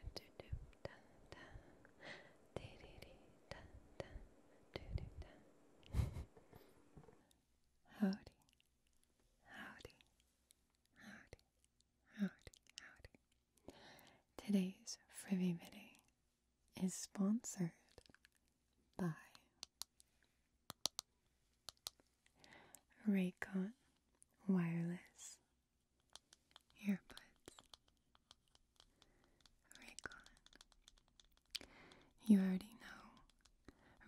Howdy Howdy Howdy Howdy Howdy Today's Frivy Video is sponsored by Raycon Wireless earbuds. Raycon. You already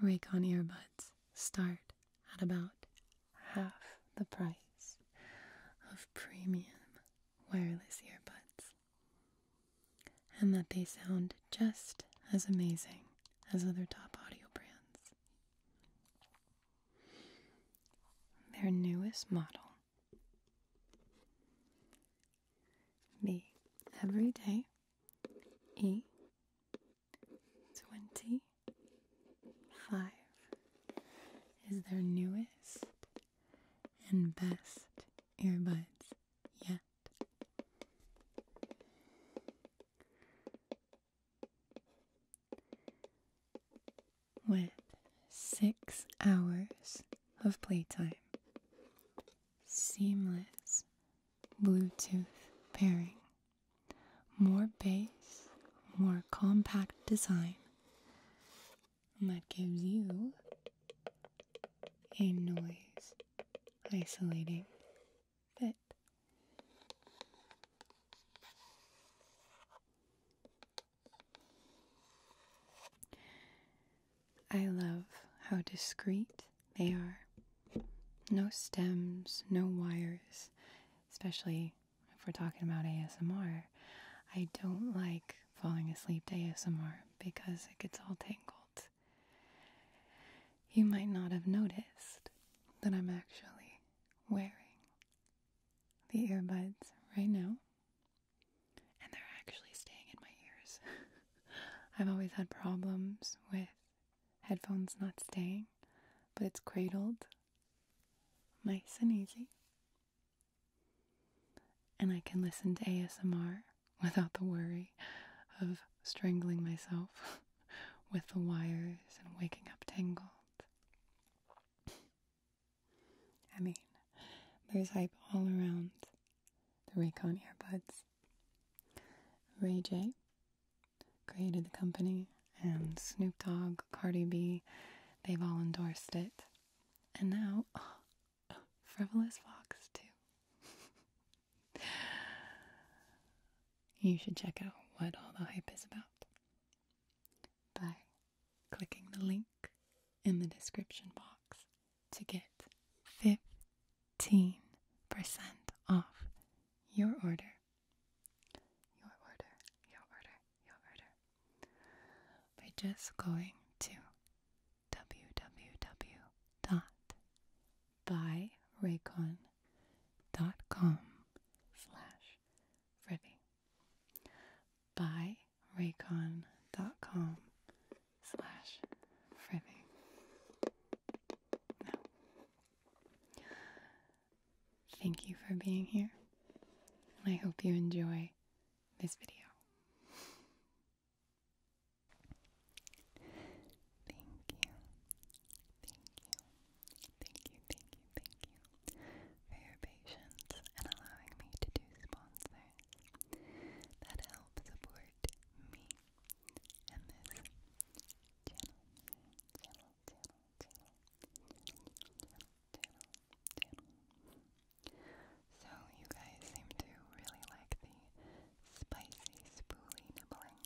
know Raycon earbuds start at about half the price of premium wireless earbuds, and that they sound just as amazing as other top audio brands. Their newest model, the Everyday E twenty five, is their newest and best earbuds yet with six hours of playtime. Seamless Bluetooth pairing. More bass, more compact design. And that gives you a noise isolating I love how discreet they are. No stems, no wires, especially if we're talking about ASMR. I don't like falling asleep to ASMR because it gets all tangled. You might not have noticed that I'm actually wearing the earbuds right now, and they're actually staying in my ears. I've always had problems with headphones not staying, but it's cradled nice and easy. And I can listen to ASMR without the worry of strangling myself. with the wires and waking up tangled. I mean, there's hype all around the Raycon earbuds. Ray J created the company, and Snoop Dogg, Cardi B, they've all endorsed it. And now, Frivolous Fox, too. you should check out what all the hype is about by clicking the link in the description box to get 15% off your order. Your order, your order, your order. By just going to www by raycon.com slash Freddie. By raycon.com slash Freddie. Now, thank you for being here, I hope you enjoy this video. Thank you. Thank you. Thank you, thank you, thank you for your patience and allowing me to do sponsors that help support me and this channel, channel, channel, channel, channel, channel, So you guys seem to really like the spicy, spoolie nibbling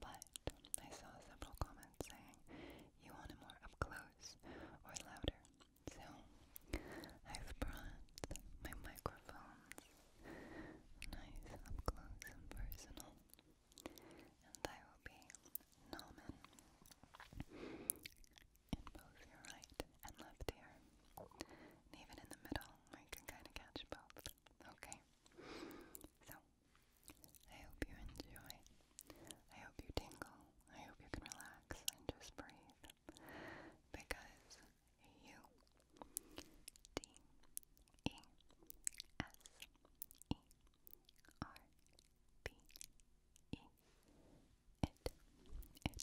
but I saw several comments saying you want more up close or louder. So I've brought my microphones nice up close and personal. And I will be numbing in both your right and left ear. And even in the middle, I can kind of catch both. Okay? So, I hope you enjoy. I hope you tingle. I hope you can relax and just breathe. Because you, D E S E R B E, it,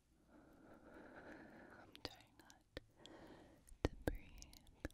I'm trying not to breathe too heavily in your ears.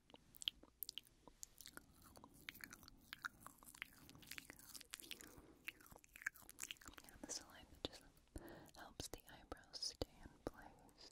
Yeah, the saliva just helps the eyebrows stay in place.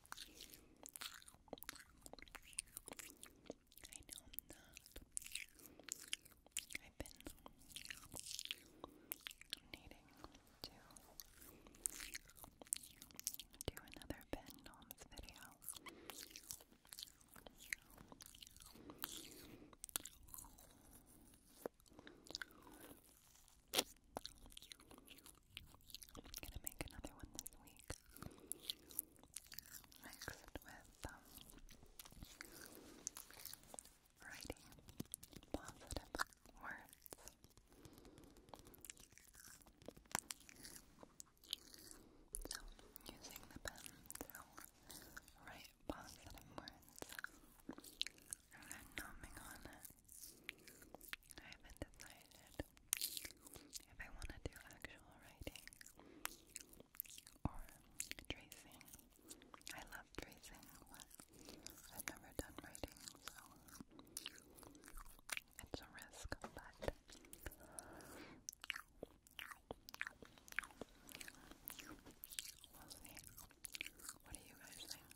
I know i have been needing to do another Ben Noms video. I'm gonna make another one this week. Mixed with um, writing positive words. So, using the pen to write positive words and then numbing on it I haven't decided if I want to do actual writing or tracing. I love tracing, but I've never done writing, so it's a risk, but we'll see. What do you guys think?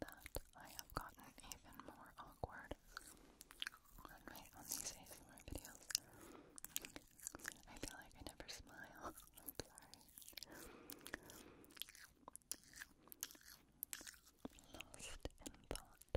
that I have gotten even more awkward on my on these ASMR videos. I feel like I never smile. I'm sorry. Lost in thought.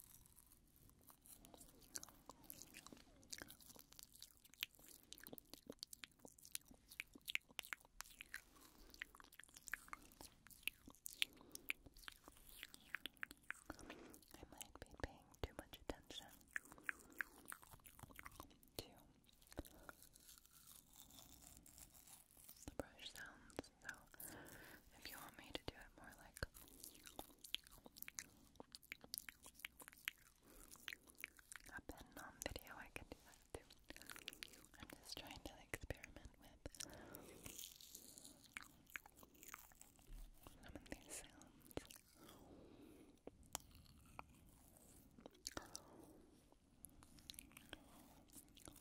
I might be paying too much attention to the brush sounds. So if you want me to do it more like a pen nom video, I can do that too. I'm just trying to experiment with some of these sounds.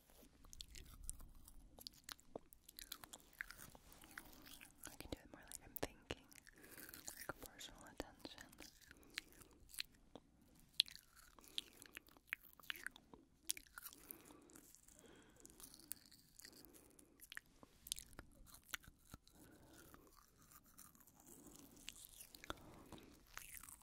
I can do it more like I'm thinking, like personal attention.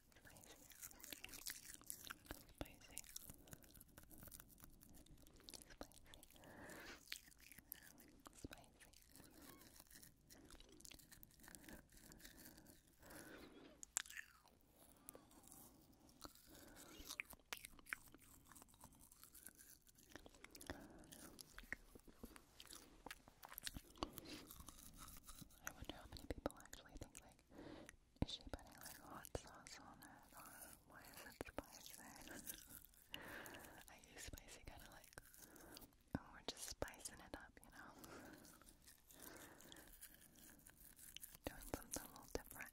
I wonder how many people actually think like is she putting like hot sauce on it or why is it spicy? I use spicy kind of like, oh, we're just spicing it up, you know? Doing something a little different.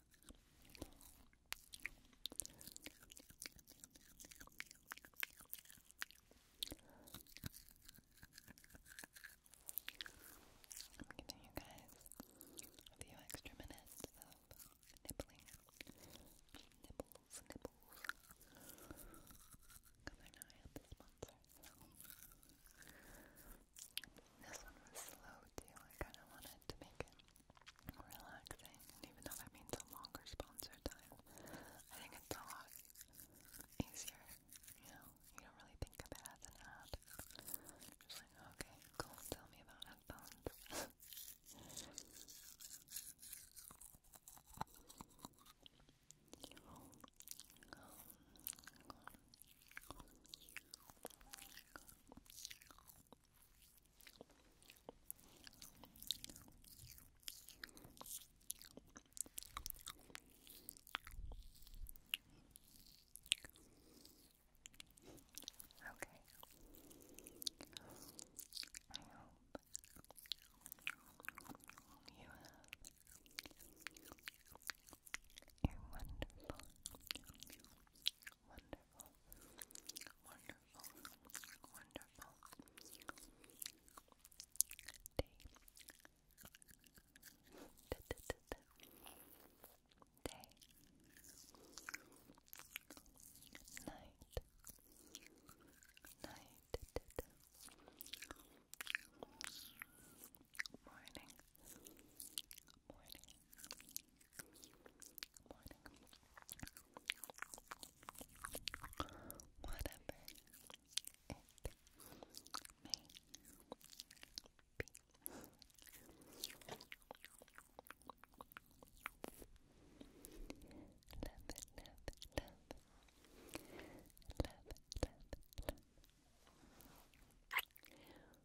I'm giving you guys a few extra minutes of nibbling. Nibbles, nibbles. Because I know I have the sponsor. So. This one was slow too. I kind of wanted to make it relaxing, and even though that means a longer sponsor time, I think it's a lot easier. You know, you don't really think of it as an Just like, okay, cool. Tell me about headphones. Okay. I hope you have you wonderful. Wonderful. Wonderful. Wonderful. Day. Da, da, da, da. Day. Night. Night. Da, da. Morning morning. Morning. Whatever it may be. Love love love Love love love